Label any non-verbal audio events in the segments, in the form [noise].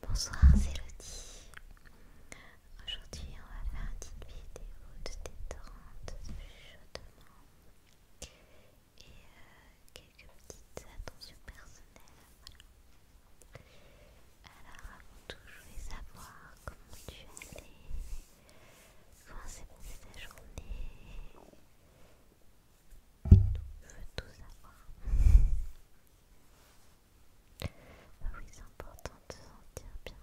Bonsoir, c'est Aujourd'hui, on va faire une petite vidéo de détente, de chaudement et euh, quelques petites attentions personnelles. Alors, avant tout, je voulais savoir comment tu allais, comment s'est passée ta journée, je veux tout savoir. Ah oui, c'est important de se sentir bien.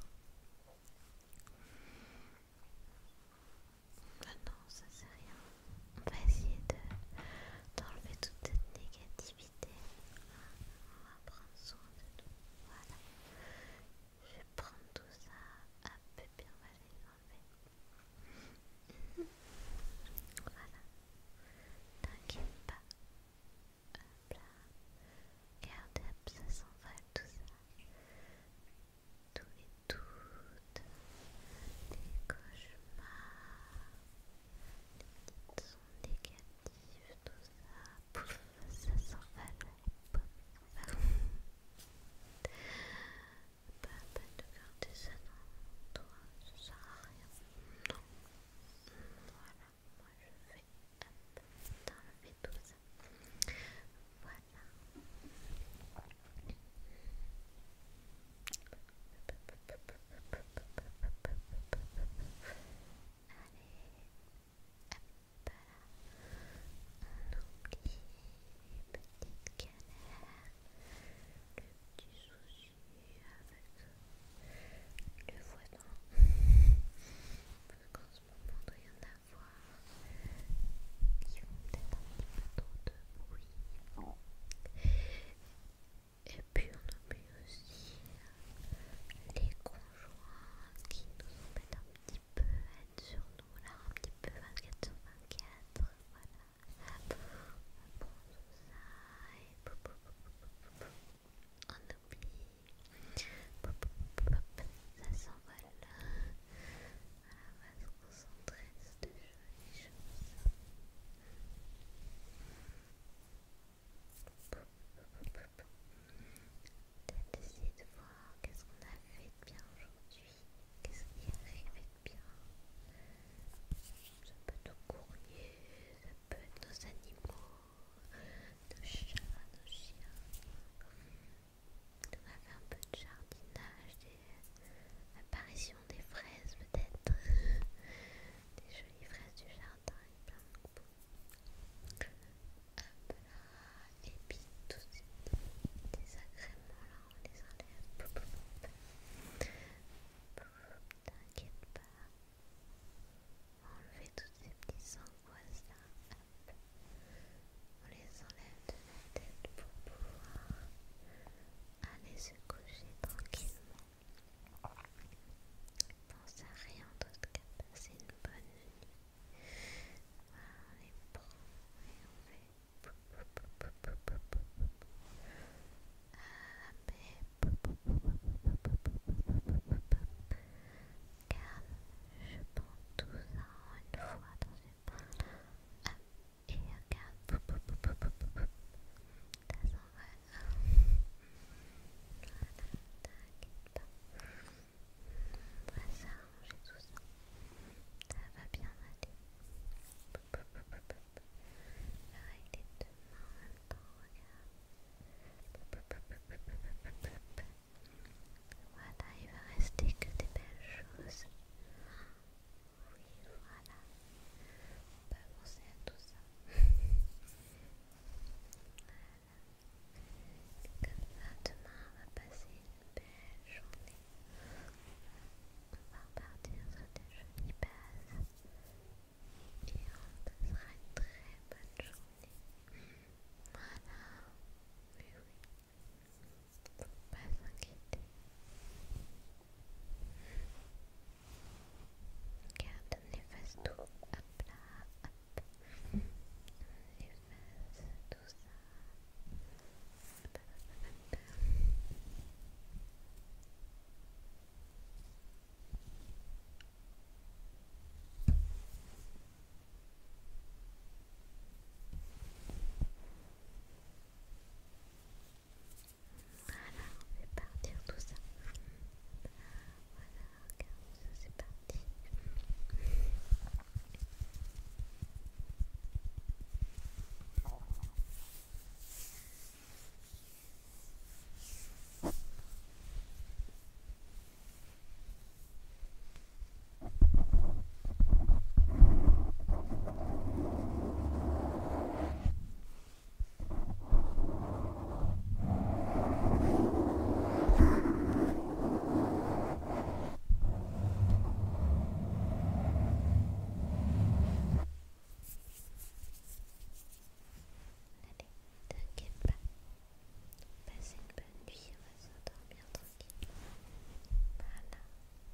non, ça c'est rien. On va essayer d'enlever toute cette négativité. On va prendre soin de nous. Voilà. Je vais prendre tout ça. à peu voilà. T'inquiète pas. Hop là. Regarde, hop, ça s'envole tout ça. Tous et toutes. Les cauchemars. Les petites sons négatives, tout ça. Pouf, ça s'envole. va pas à peine de garder ça toi, ça sert à rien. Non. Voilà, moi je vais tout ça. Voilà on oublie petites galères, les petits soucis avec le voisin, parce qu'en ce moment il y en avoir qui ont peut-être un petit peu trop de bruit. Et puis on oublie aussi les conjoints qui nous ont peut-être un petit peu sur nous voilà un petit peu 24 sur 24, voilà. on ça et on oublie. Ça s'envole de choses peut de voir qu'est-ce qu'on a fait de bien aujourd'hui, qu'est-ce qui a de bien. un peu de courrier, un peu de nos animaux, de chats, nos chiens. On a un peu de jardinage, l'apparition des fraises peut-être, [laughs] des jolies fraises du jardin et plein et puis tous ces désagréments là, on les enlève. T'inquiète pas, on va enlever toutes ces petites angoisses là. On les enlève de la tête pour pouvoir aller se coucher tranquillement pense à rien d'autre qu'à passer une bonne nuit. on on les et Allez, Calme, je prends tout ça une fois dans une poche. Et regarde, voilà, t'inquiète pas. On va s'arranger tout ça. Ça va bien aller. va les deux mains en même temps, regarde. Voilà, il va rester que des belles choses. Oui, voilà. On peut avancer à tout ça. Comme ça, demain on va passer une belle journée. On va repartir sur des jolies bases. Et on passera une très bonne journée. Voilà. oui oui. Faut pas s'inquiéter les les fesses tout. Hop là, tout ça. Voilà, on fait partir tout ça. Voilà, regarde, ça c'est parti. Allez, t'inquiète pas. Passez une bonne nuit, on va s'endormir tranquillement. Voilà.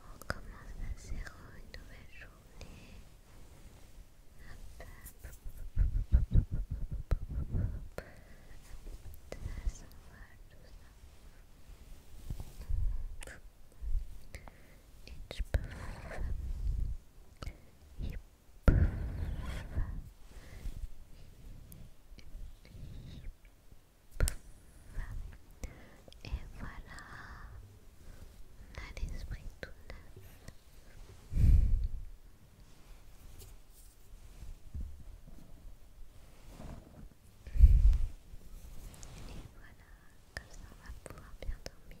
On commence zéro une nouvelle journée. Et voilà, on a l'esprit tout neuf. Et voilà, comme ça on va pouvoir bien dormir.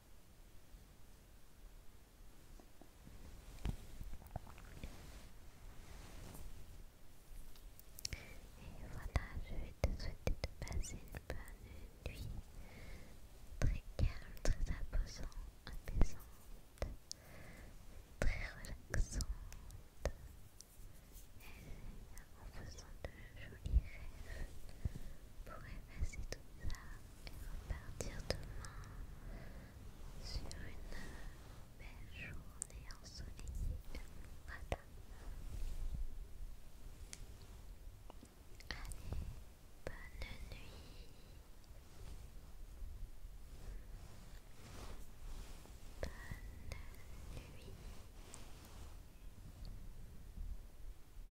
Et voilà, je vais te souhaiter de passer une bonne nuit très calme, très apaisante, apaisante très relaxante et en faisant de jolis rêves pour effacer tout ça et repartir demain sur une belle journée ensoleillée. Voilà. Allez, bonne nuit. Bonne nuit.